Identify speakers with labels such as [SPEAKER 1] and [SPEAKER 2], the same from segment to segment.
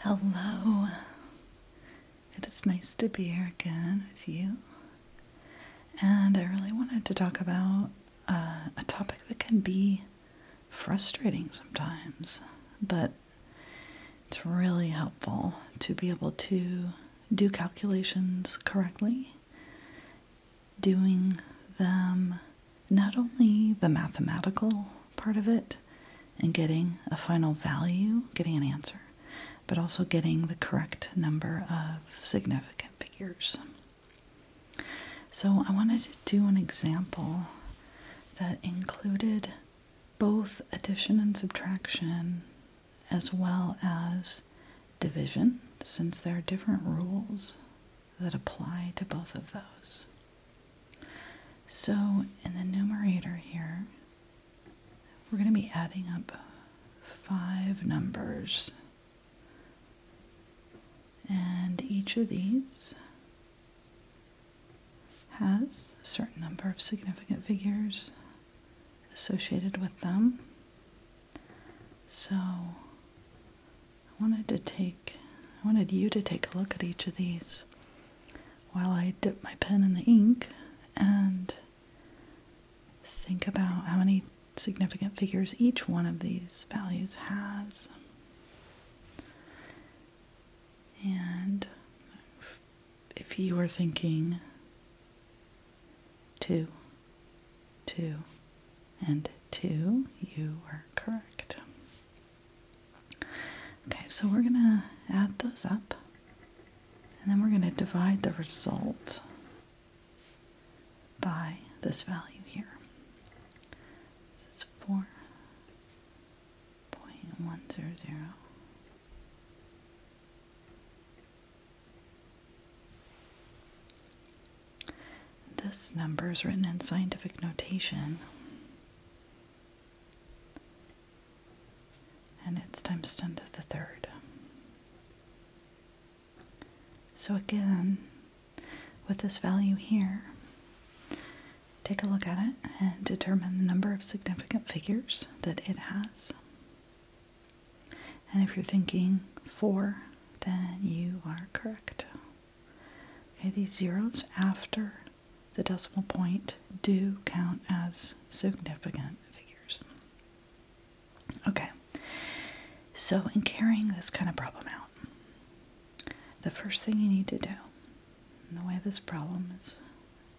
[SPEAKER 1] Hello. It is nice to be here again with you. And I really wanted to talk about uh, a topic that can be frustrating sometimes, but it's really helpful to be able to do calculations correctly, doing them not only the mathematical part of it and getting a final value, getting an answer, but also getting the correct number of significant figures. So I wanted to do an example that included both addition and subtraction as well as division since there are different rules that apply to both of those. So in the numerator here, we're going to be adding up five numbers. And each of these has a certain number of significant figures associated with them. So I wanted to take, I wanted you to take a look at each of these while I dip my pen in the ink and think about how many significant figures each one of these values has. And if you were thinking two, two, and two, you were correct. Okay, so we're going to add those up and then we're going to divide the result by this value here. This is 4.100. This number is written in scientific notation and it's times 10 to the third. So again, with this value here, take a look at it and determine the number of significant figures that it has. And if you're thinking four, then you are correct. Okay, these zeros after the decimal point do count as significant figures. Okay, so in carrying this kind of problem out, the first thing you need to do, and the way this problem is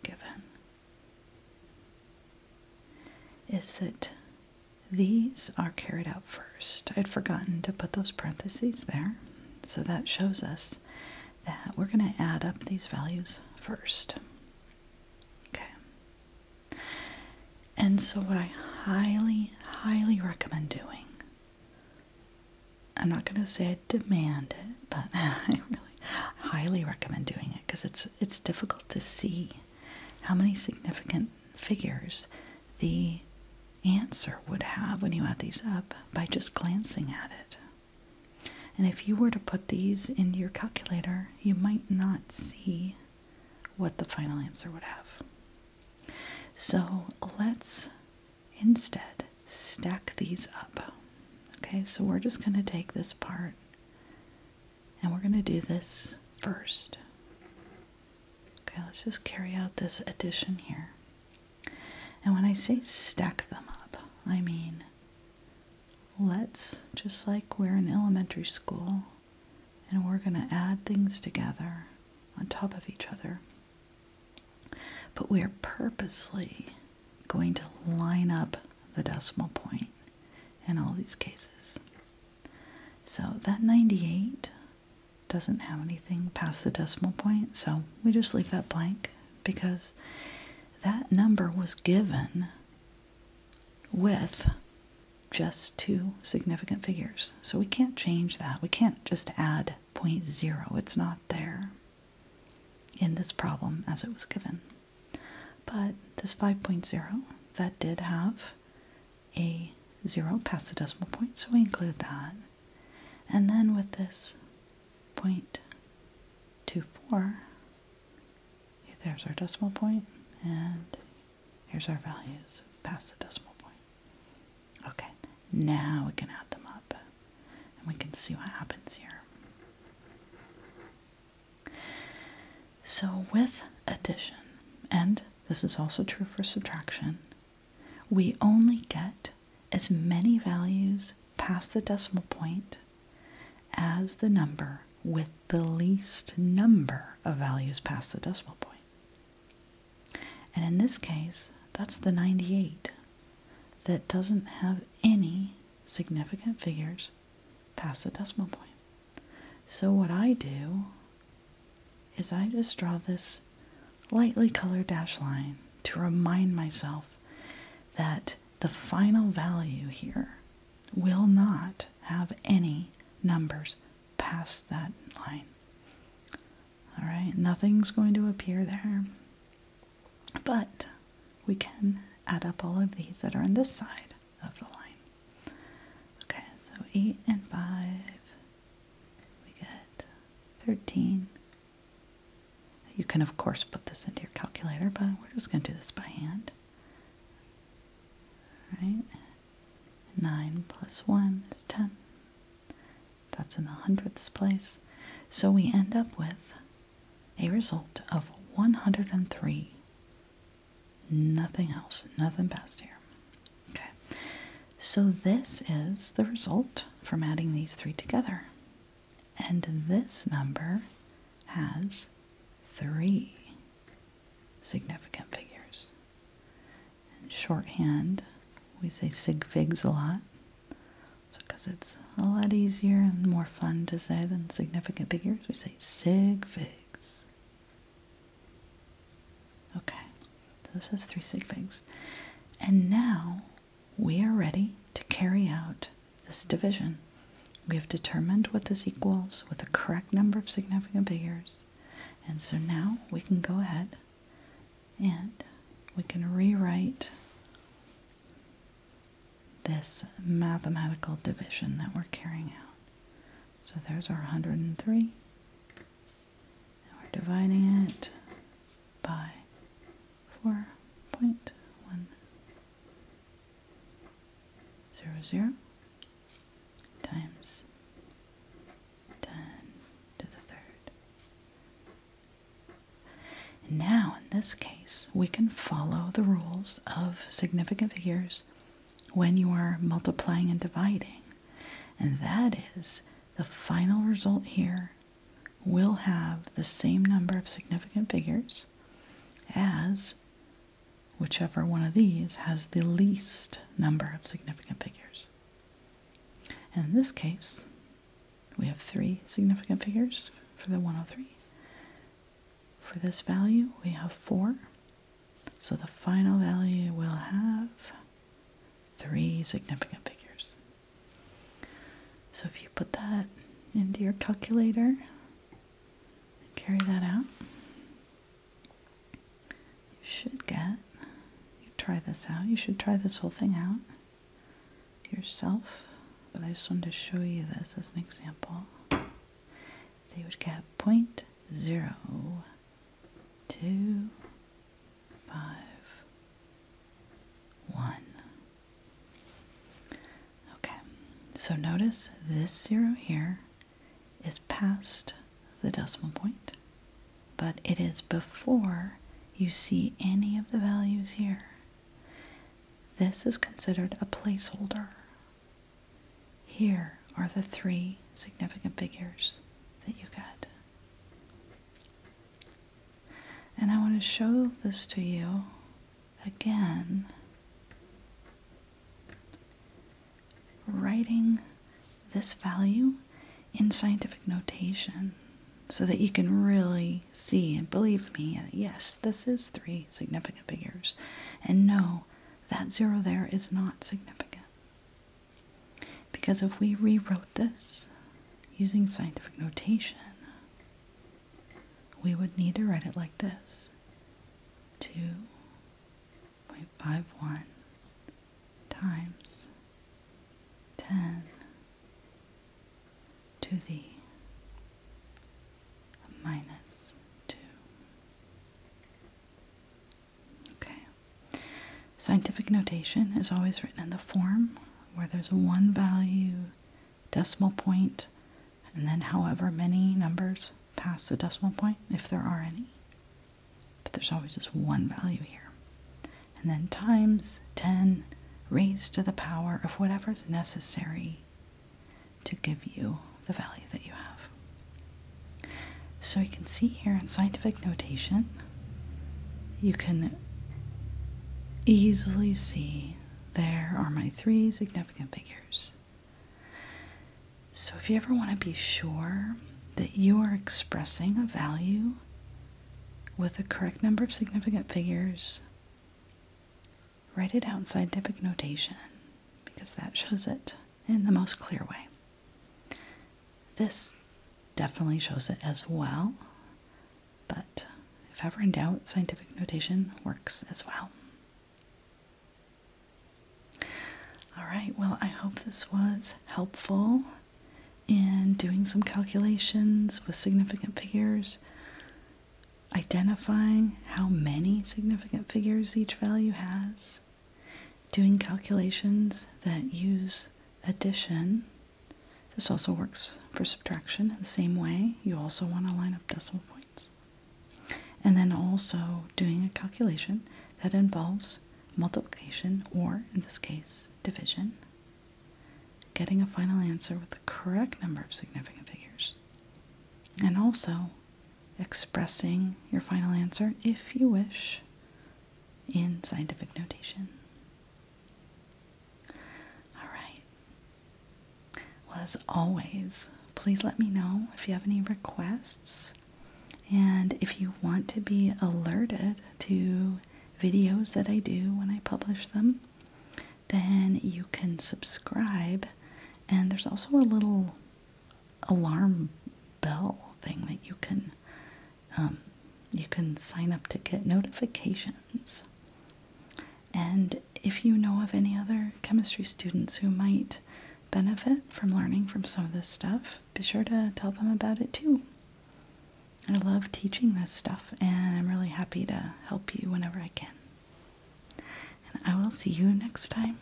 [SPEAKER 1] given, is that these are carried out first i I'd forgotten to put those parentheses there. So that shows us that we're going to add up these values first. Okay. And so what I highly, highly recommend doing, I'm not going to say I demand it, but I really highly recommend doing it because it's, it's difficult to see how many significant figures the answer would have when you add these up by just glancing at it. And if you were to put these in your calculator, you might not see what the final answer would have. So let's instead stack these up. Okay, so we're just going to take this part and we're going to do this first. Okay, let's just carry out this addition here. And when I say stack them up, I mean let's, just like we're in elementary school and we're going to add things together on top of each other, but we are purposely going to line up the decimal point in all these cases. So that 98 doesn't have anything past the decimal point, so we just leave that blank because that number was given with just two significant figures. So we can't change that. We can't just add point 0. It's not there in this problem as it was given. But this 5.0, that did have a 0 past the decimal point, so we include that. And then with this 0.24, there's our decimal point, and here's our values past the decimal point. Okay, now we can add them up, and we can see what happens here. So with addition, and this is also true for subtraction, we only get as many values past the decimal point as the number with the least number of values past the decimal And in this case, that's the 98 that doesn't have any significant figures past the decimal point. So what I do is I just draw this lightly colored dash line to remind myself that the final value here will not have any numbers past that line. All right, nothing's going to appear there. But we can add up all of these that are on this side of the line. Okay, so 8 and 5 we get 13. You can, of course, put this into your calculator, but we're just going to do this by hand. All right? 9 plus 1 is 10. That's in the hundredths place. So we end up with a result of 103. Nothing else, nothing past here. Okay, so this is the result from adding these three together. And this number has three significant figures. In shorthand, we say sig figs a lot because it's a lot easier and more fun to say than significant figures. We say sig figs. Okay, so this has three sig figs. And now we are ready to carry out this division. We have determined what this equals with the correct number of significant figures. And so now we can go ahead and we can rewrite this mathematical division that we're carrying out. So there's our 103 now we're dividing it by 4.100. Times 10 to the third. now, in this case, we can follow the rules of significant figures when you are multiplying and dividing, and that is the final result here will have the same number of significant figures as whichever one of these has the least number of significant figures. in this case, we have three significant figures for the 103. For this value, we have four. So the final value will have three significant figures. So if you put that into your calculator and carry that out, you should get, you try this out, you should try this whole thing out yourself, but I just wanted to show you this as an example. They would get point zero two, five, one. Okay, so notice this zero here is past the decimal point, but it is before you see any of the values here. This is considered a placeholder. Here are the three significant figures that you got. And I want to show this to you again. Writing this value in scientific notation so that you can really see and believe me yes, this is three significant figures. And no, that zero there is not significant. Because if we rewrote this using scientific notation, we would need to write it like this 2.51 times 10 to the minus 2 Okay. Scientific notation is always written in the form where there's one value, decimal point, and then however many numbers past the decimal point, if there are any. But there's always just one value here. And then times 10 raised to the power of whatever's necessary to give you the value that you have. So you can see here in scientific notation, you can easily see there are my three significant figures. So if you ever want to be sure that you are expressing a value with the correct number of significant figures, write it out in scientific notation because that shows it in the most clear way. This definitely shows it as well, but if ever in doubt, scientific notation works as well. All right, well, I hope this was helpful in doing some calculations with significant figures, identifying how many significant figures each value has, Doing calculations that use addition, this also works for subtraction in the same way. You also want to line up decimal points. And then also doing a calculation that involves multiplication or, in this case, division. Getting a final answer with the correct number of significant figures. And also expressing your final answer if you wish in scientific notation. All right. Well, as always, please let me know if you have any requests and if you want to be alerted to videos that I do when I publish them. Then you can subscribe, and there's also a little alarm bell thing that you can um, you can sign up to get notifications. And if you know of any other chemistry students who might benefit from learning from some of this stuff, be sure to tell them about it too. I love teaching this stuff, and I'm really happy to help you whenever I can. And I will see you next time.